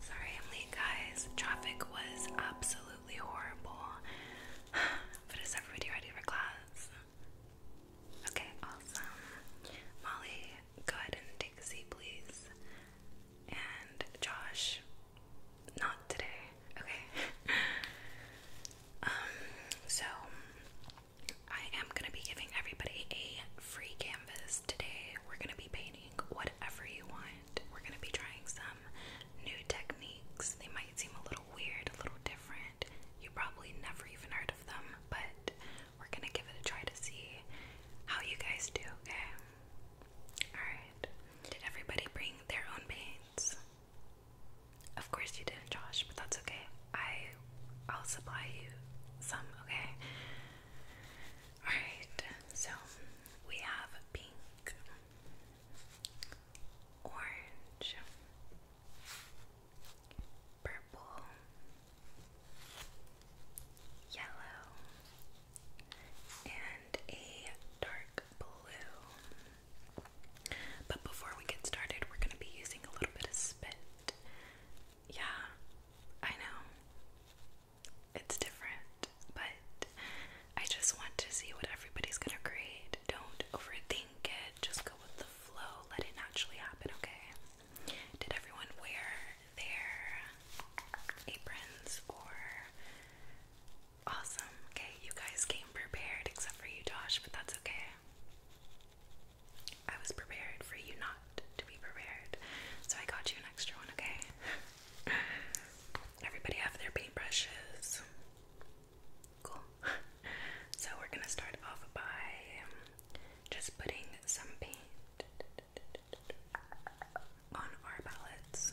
Sorry I'm late guys. Traffic was absolutely horrible. but is everybody ready for class? Okay, awesome. Molly, go ahead and take a seat please. And Josh, not today. Okay. um, so I am gonna be giving everybody a free canvas today we're going to be painting whatever you want. We're going to be trying some new techniques. They might seem a little weird, a little different. You probably never even heard of them, but we're going to give it a try to see how you guys do, okay? Alright. Did everybody bring their own paints? Of course you didn't, Josh, but that's okay. I I'll supply you some, okay? Alright, so we have pink, orange, purple, yellow, and a dark blue. But before we get started, we're going to be using a little bit of spit. Yeah, I know it's different, but I just want to see what everybody's gonna create. Don't overthink it, just go with the flow, let it naturally happen, okay? Did everyone wear their aprons or awesome? Okay, you guys came prepared except for you, Josh, but that's okay. I was prepared for you not to be prepared. So I got you an extra one, okay? Everybody have their paintbrushes. Cool. So we're gonna start off by um, just putting some paint on our palettes.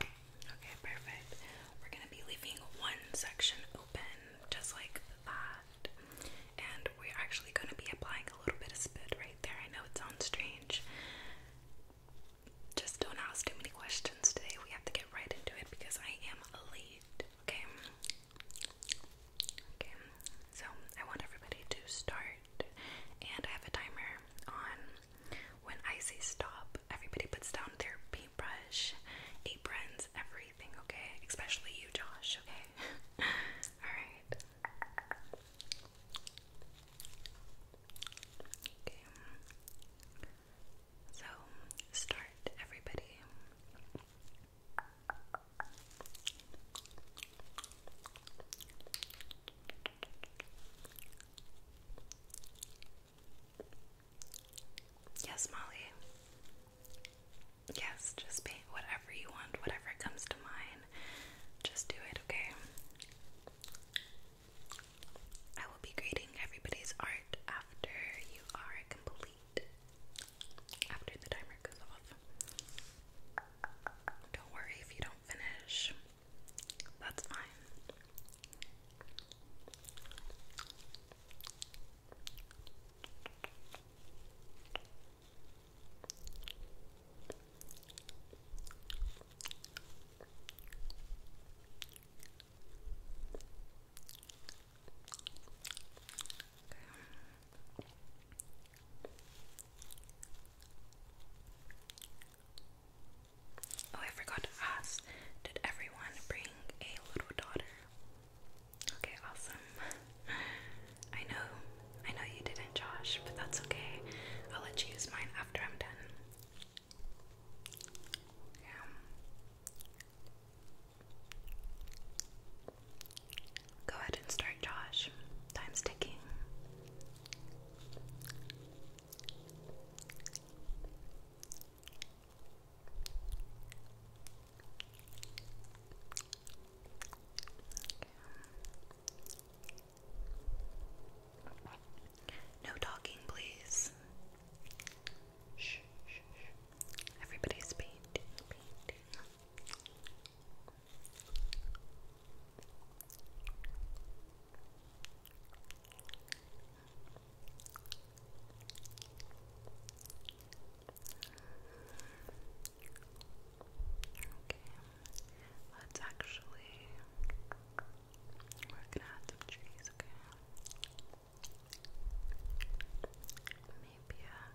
Okay, perfect. We're gonna be leaving one section open, just like that. And we're actually gonna be applying a little bit of spit right there. I know it sounds strange. Just don't ask too many questions today. We have to get right into it because I am late. Okay, Okay, so I want everybody to start, and I have a timer on. When I say stop, everybody puts down their paintbrush, aprons, everything, okay? Especially you, Josh, okay? Alright. Okay. So, start, everybody. Yes, Molly. Yes, just paint whatever you want, whatever comes to mind. Just do it, okay? I will be grading everybody's art after you are complete after the timer goes off. Don't worry if you don't finish, that's fine. Okay. Oh, I forgot to ask. Did everyone bring a little daughter? Okay, awesome. I know, I know you didn't, Josh, but that's okay. I'll let you use mine after I'm done. Yeah. Go ahead and start, Josh. Time's ticking. No talking, please. Shh, shh, shh. Okay, let's actually we're add some trees, okay? Maybe a uh,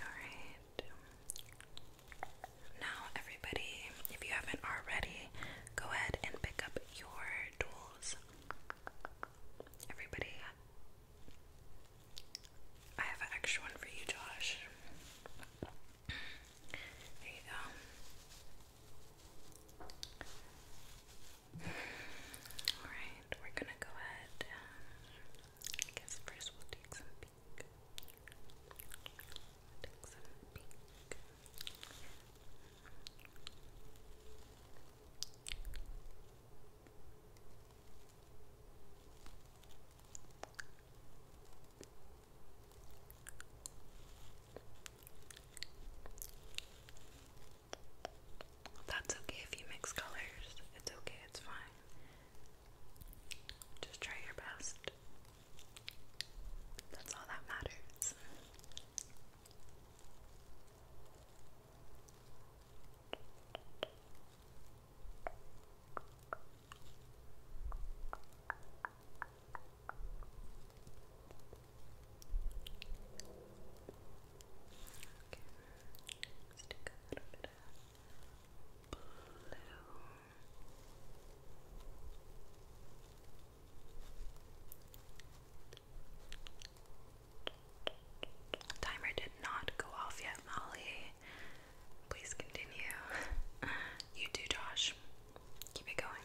Alright. Now, everybody, if you haven't already, go ahead and pick up your tools. Everybody, I have an extra one for you, Josh. There you go. Alright, we're gonna go ahead. I guess first we'll take some pink. take some pink. That's okay if you mix colors. It's okay, it's fine. Just try your best. That's all that matters. Timer did not go off yet, Molly. Please continue. you do, Josh. Keep it going.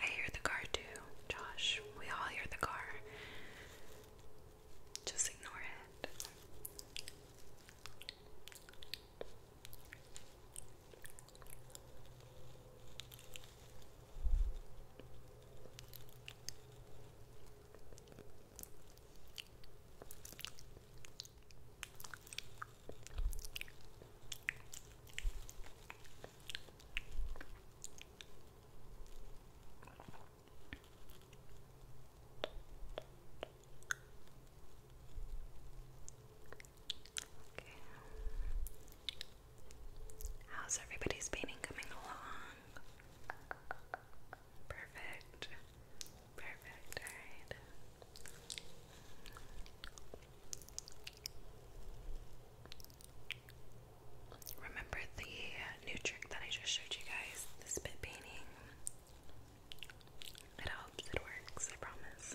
I hear the car too, Josh. We all hear the car. Just ignore it. How's everybody's painting coming along? Perfect. Perfect. All right. Remember the new trick that I just showed you guys, the spit painting? It helps, it works, I promise.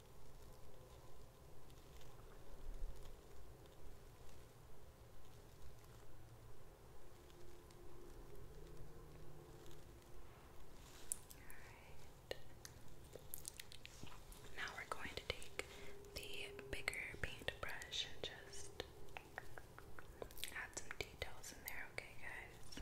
Alright. Now we're going to take the bigger paintbrush and just add some details in there, okay, guys?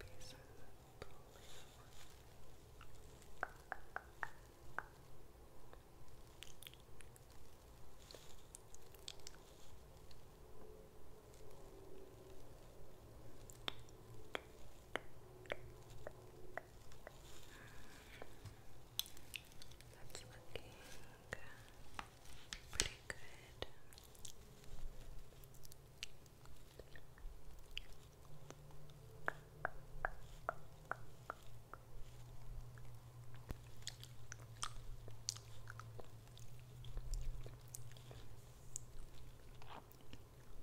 Maybe some blue. Okay. That's looking pretty good.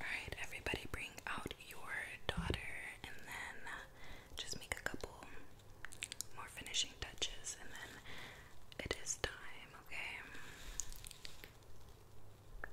Alright, everybody bring out your daughter and then uh, just make a couple more finishing touches and then it is time, okay? Okay,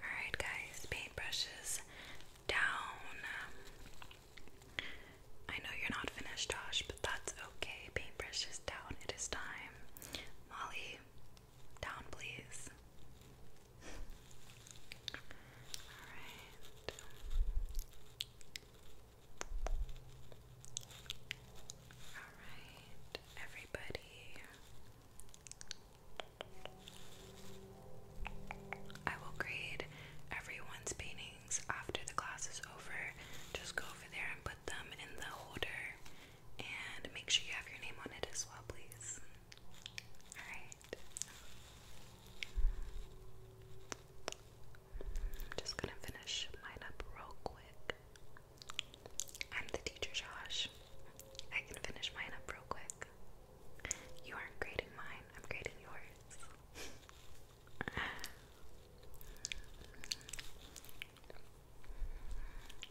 Alright, guys, paintbrushes down. Um, I know you're not finished, Josh, but that's okay. Paintbrushes down. It is time. Molly, down, please. Alright. Alright, everybody. I will grade everyone's paintings after the class is over. Just go over there and put them in the holder and make sure you have your name on it as well, please. Alright. I'm just gonna finish mine up real quick. I'm the teacher, Josh. I can finish mine up real quick. You aren't grading mine, I'm grading yours.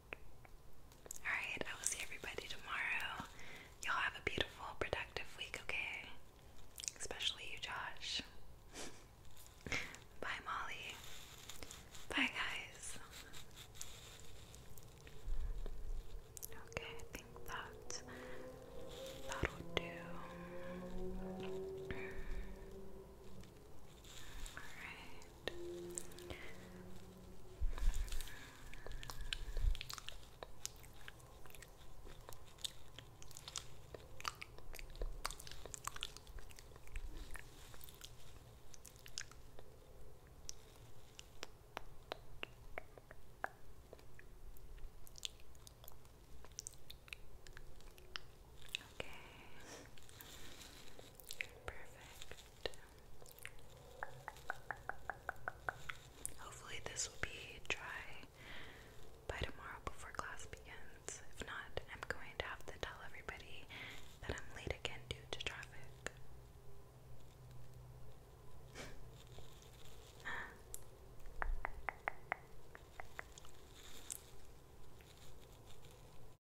Alright, I will see everybody tomorrow. Y'all have a beautiful, productive week, okay? Especially you, Josh. Bye, Molly. Bye, guys. Okay, I think that that'll do. Alright. Okay. Perfect. Hopefully, this will be dry by tomorrow before class begins. If not, I'm going to have to tell everybody that I'm late again due to traffic.